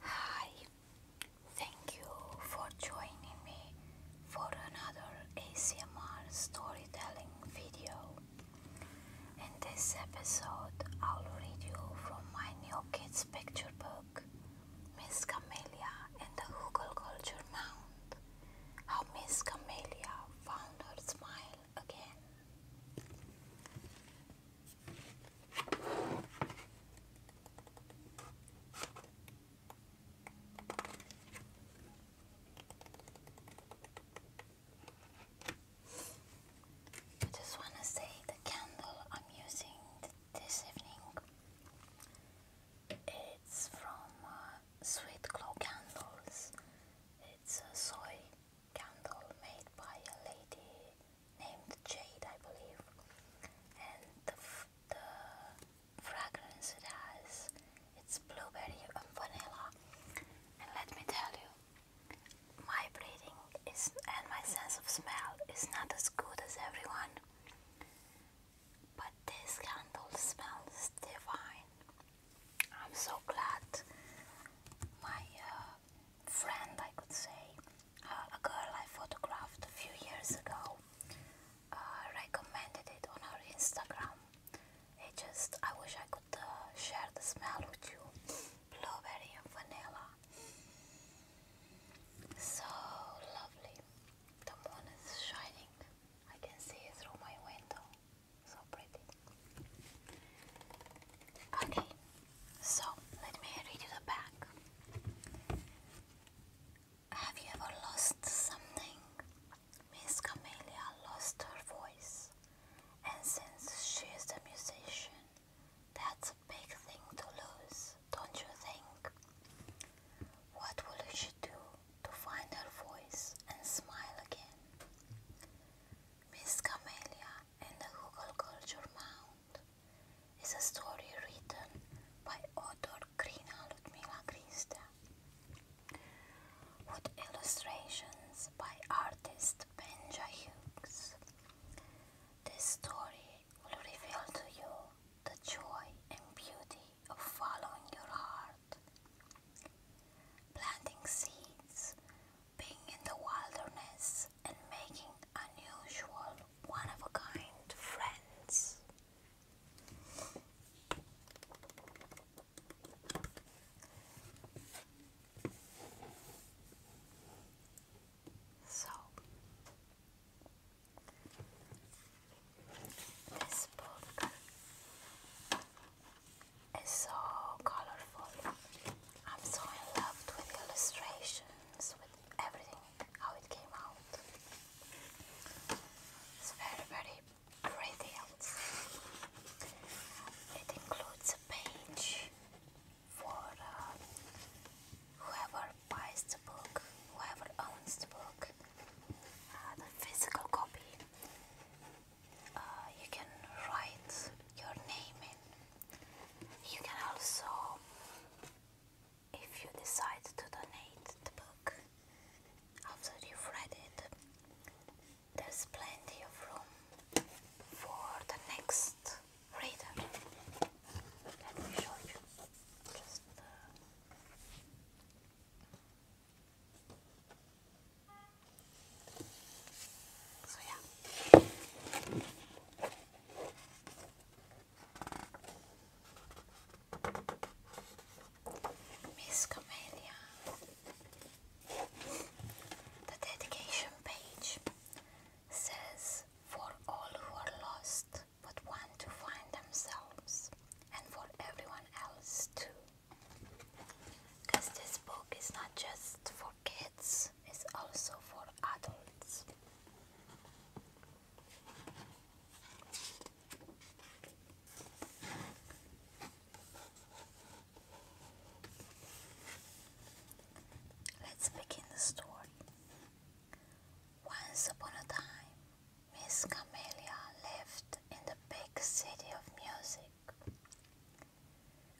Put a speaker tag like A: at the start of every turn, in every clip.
A: Hi, thank you for joining me for another ACMR storytelling video. In this episode, I'll read you from my new kids picture book, Miss Camelia and the Hoogle Culture Mound, How Miss Camelia Found Her Smile Again. I just want to say the candle I'm using this evening it's from uh, Sweet Glow Candles. It's a soy candle made by a lady named Jade, I believe, and the, the fragrance it has, it's blueberry and vanilla. And let me tell you, my breathing is and my sense of smell is not as good as everyone, but this candle smells divine. I'm so glad my uh, friend, I could say, uh, a girl I photographed a few years ago, uh, recommended it on her Instagram. It just, I wish I could uh, share the smell with you blueberry and vanilla. So lovely. The moon is shining. I can see it through my window. So pretty. Okay, so, let me read you the back. Have you ever lost something? Miss Camelia lost her voice, and since she is a musician, that's a big thing to lose, don't you think? What will she do to find her voice and smile again? Miss Camelia and the Google Culture Mound is a story written by author Krina Ludmila Krista with illustrations by artist Benja Hughes. This story will reveal to you the joy and beauty of following your heart. Planting seeds being in the wilderness and making unusual, one of a kind friends. So, this book is so colorful. I'm so in love with the illustrations, with everything, how it came out. It's very, very pretty, It includes a page for uh, whoever buys the book, whoever owns the book, uh, the physical copy. Uh, you can write your name in you can also, if you decide to donate the book after you've read it, there's plenty of room for the next reader. Let me show you. Just, uh, so yeah. Miss Camellia. The dedication page says, For all who are lost but want to find themselves, and for everyone else too. Because this book is not just for kids, is also for adults. Let's begin the story. Once upon a time, Miss Camellia lived in the big city of music.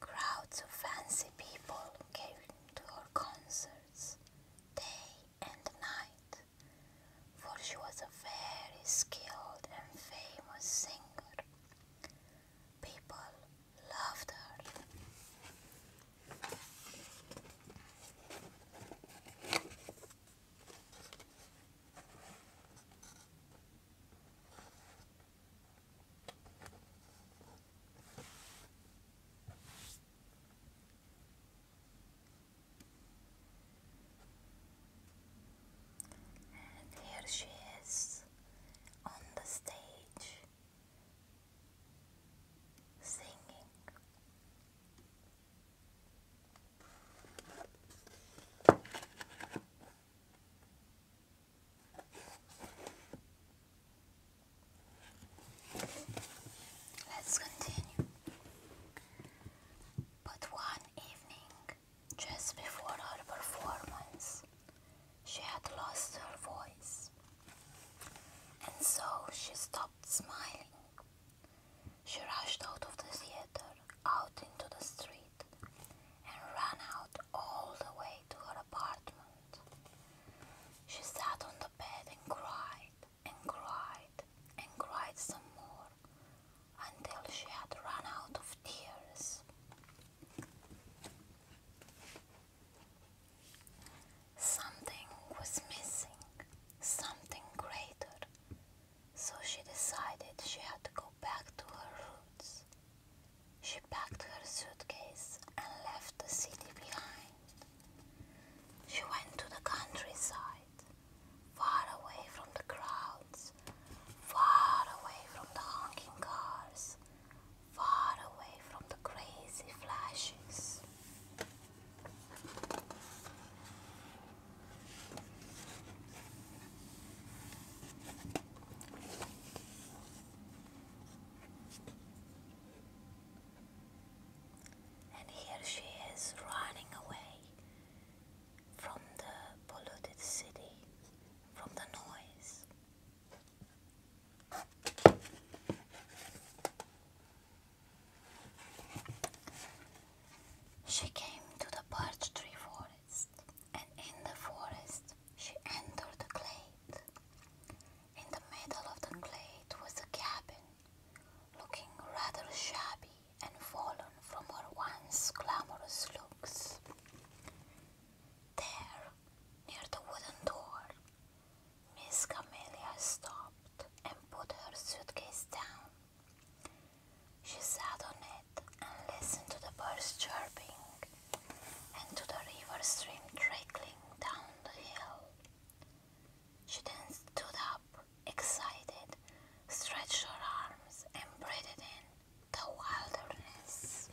A: Crowds of fancy people came to her concerts day and night, for she was a very skilled and famous singer. People loved her. And here she is on the stage singing. Let's continue. But one evening, just before her performance, she had lost her voice, and so she stopped smiling. She rushed out of the theater, out into the street and ran out all the way to her apartment. She sat on the bed and cried and cried and cried some more until she had run out of tears. Something was missing, something greater, so she decided she had to go back to her roots. She packed her suitcase and left the city behind. She went to the countryside, far away from the crowds, far away from the honking cars, far away from the crazy flashes. And here she is running away from the polluted city, from the noise. She came to the birch tree forest and in the forest she entered a glade. In the middle of the glade was a cabin, looking rather shabby and fallen from her once glamorous looks. There, near the wooden door, Miss Camelia stopped and put her suitcase down. She sat on it and listened to the birds chirping and to the river stream trickling down the hill. She then stood up, excited, stretched her arms, and breathed in the wilderness.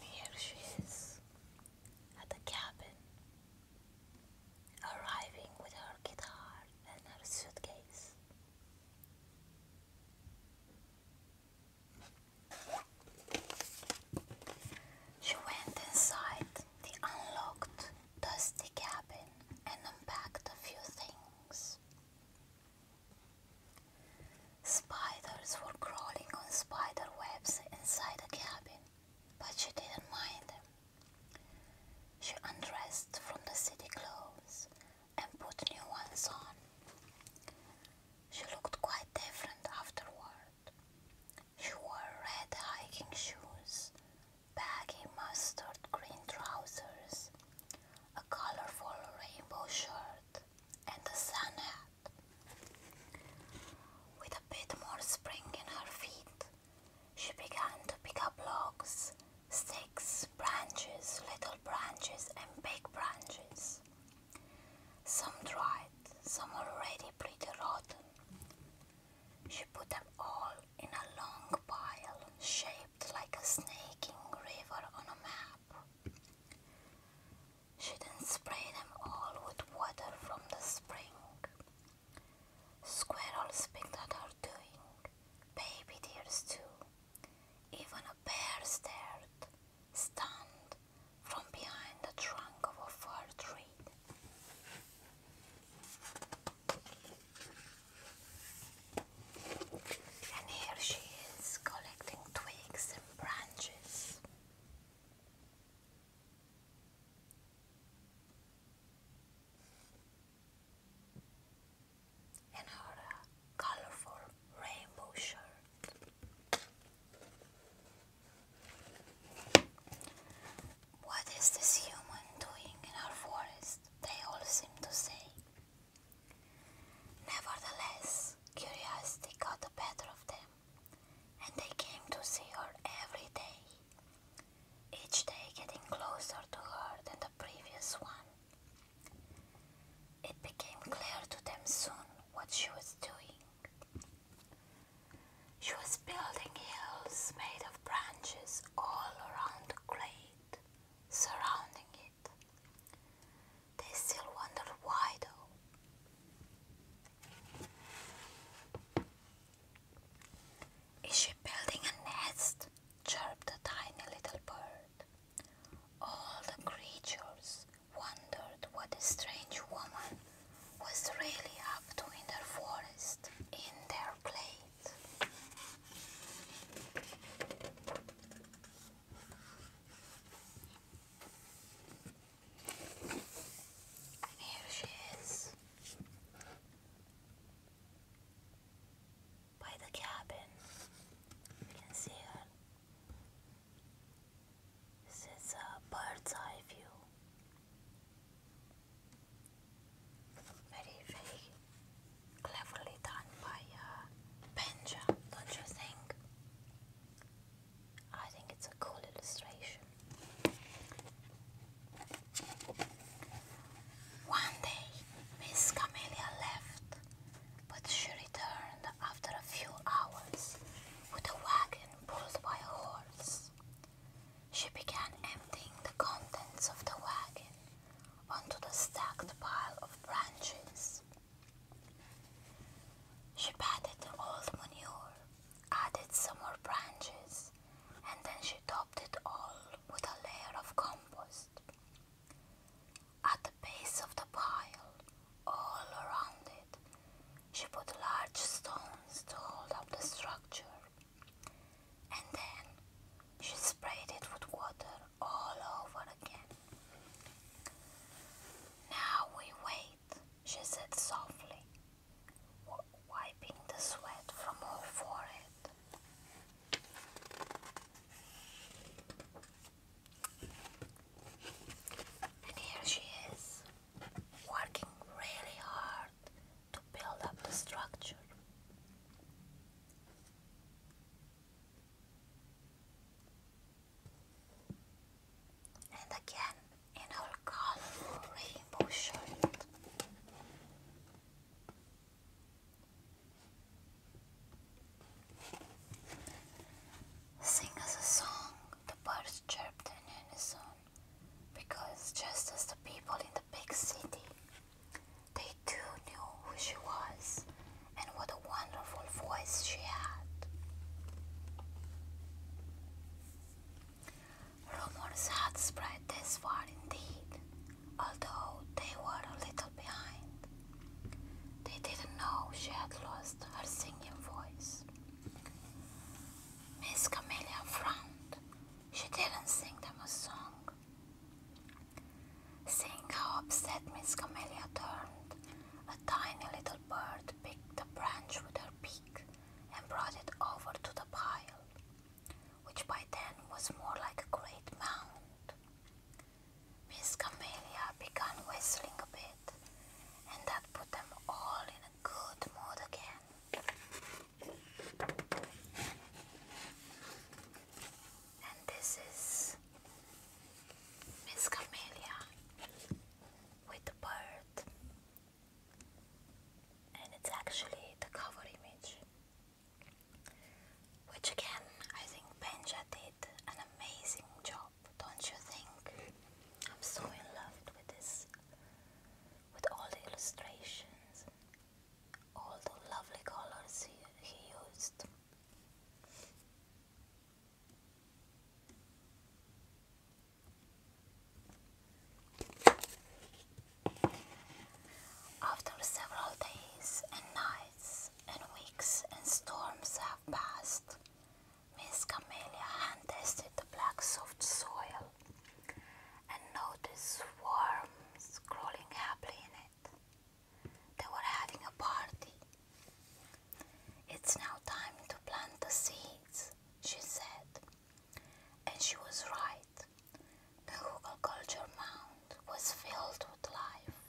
A: Here she is at the cabin arriving with her guitar and her suitcase. She went inside the unlocked, dusty cabin and unpacked a few things. Spiders were crawling on spider webs inside the cabin but she didn't mind. She undressed from the city clothes and put new ones on. She looked quite different afterward. She wore red hiking shoes, baggy mustard green trousers, a colorful rainbow shirt, and a sun hat. With a bit more spring in her feet, she began to pick up logs, sticks, branches, little branches, and big branches. Some dried, some already pretty rotten. She put them all in a long pile shaped like a snaking river on a map. She then sprayed them all with water from the spring. Squirrels peeked at her doing, baby deers too. Even a bear stared, stunned, from behind the trunk of a fir tree. And here she is collecting twigs and branches and our uh, colorful rainbow shirt. What is this human doing in our forest? They all seem to say. Nevertheless, curiosity got the better of them and they came to see her every day, each day getting closer to her than the previous one. It became clear to them soon what she was doing. She was building hills made of branches all around the glade, surrounding it. They still wondered why, though. Is she building a nest? chirped a tiny little bird. All the creatures wondered what the strange woman was really up to in their forest, in their plate here she is by the cabin. You can see her. This is a bird's eye view. Very, very cleverly done by uh, Benja, don't you think? I think it's a cool illustration. One day, Miss Camellia left, but she returned after a few hours with a wagon pulled by a horse. She began emptying the contents of the wagon onto the stacked pile of branches. She patted the old manure, added some more branches, and then she topped it all with a layer of compost. At the base of the pile, all around it, she put large stones to hold up the structure. And then she sprayed it with water all over again. Now we wait she said softly, wiping the sweat from her forehead. And here she is, working really hard to build up the structure and again in her colorful rainbow shirt. Sing us a song, the birds chirped in unison, because just as the people in the big city, they too knew who she was and what a wonderful voice she had. Rumors had spread this far indeed, although they were a little behind. They didn't know she had lost her singing voice. Miss Camelia frowned. She didn't sing them a song. Seeing how upset Miss Camelia turned, a tiny little bird picked the branch with her beak and brought it over to the pile, which by then was more like a great mound. Miss Camelia began whistling a bit, and that put them all in a good mood again. And this is Miss Camellia with the bird and it's actually the cover image which again I think Benja did an amazing job don't you think I'm so in love with this with all the illustrations all the lovely colors he, he used after several days and nights and weeks and storms have passed, Miss Camellia hand tested the black soft soil and noticed worms crawling happily in it. They were having a party it's now time to plant the seeds, she said. And she was right. The culture mound was filled with life,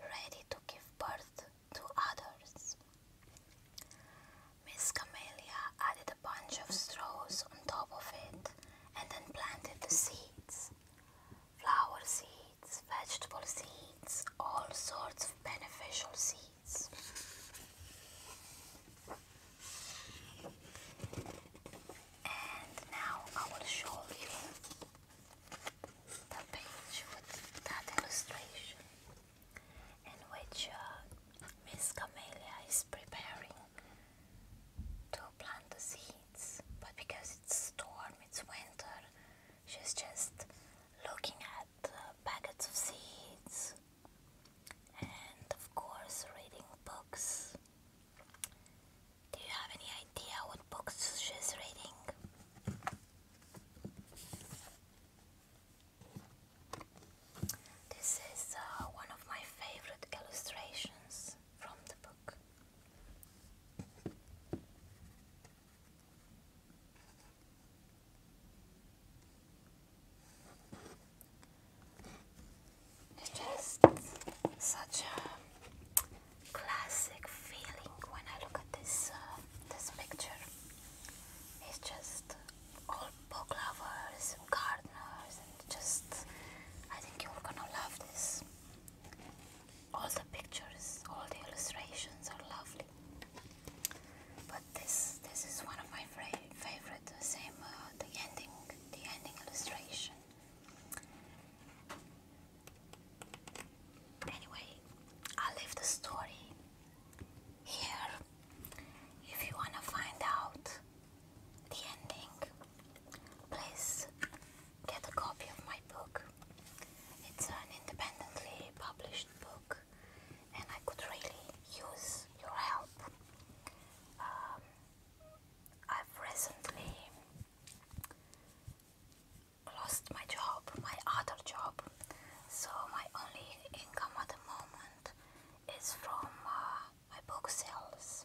A: ready to give birth to others. Miss Camelia added a bunch of straws on top of it and then planted the seeds flower seeds vegetable seeds, all sorts of beneficial seeds. And now I will show you the page with that illustration in which uh, Miss Camelia is preparing to plant the seeds, but because it's storm, it's winter, she's just looking at packets of seeds and of course reading books. Do you have any idea what books she's reading? This is uh, one of my favorite illustrations from the book. It's just such a classic feeling when I look at this uh, this picture. It's just all book lovers and gardeners and just I think you're gonna love this all the pictures, all the illustrations are lovely. But this this is one of my favorite. The same uh, the ending, the ending illustration. Anyway, I'll leave the story here. If you wanna find out the ending, please get a copy of my book. It's an independently published book, and I could really use your help. Um, I've recently lost my job, my other job, so my only income at the moment is from uh, my book sales.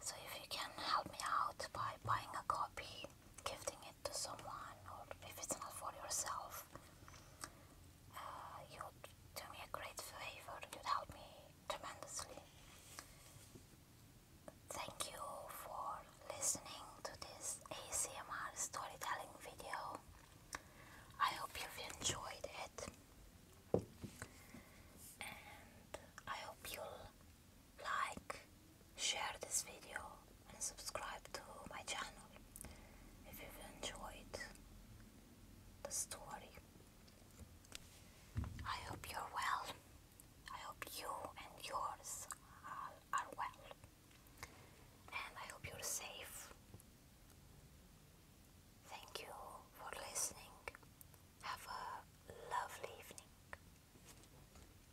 A: So if you can help me out by buying a copy Giving it to someone, or if it's not for yourself, uh, you'd do me a great favor. You'd help me tremendously. Thank you for listening to this ACMR storytelling video. I hope you've enjoyed it, and I hope you'll like, share this video and subscribe to my channel if you enjoyed the story. I hope you're well. I hope you and yours are, are well. And I hope you're safe. Thank you for listening. Have a lovely evening.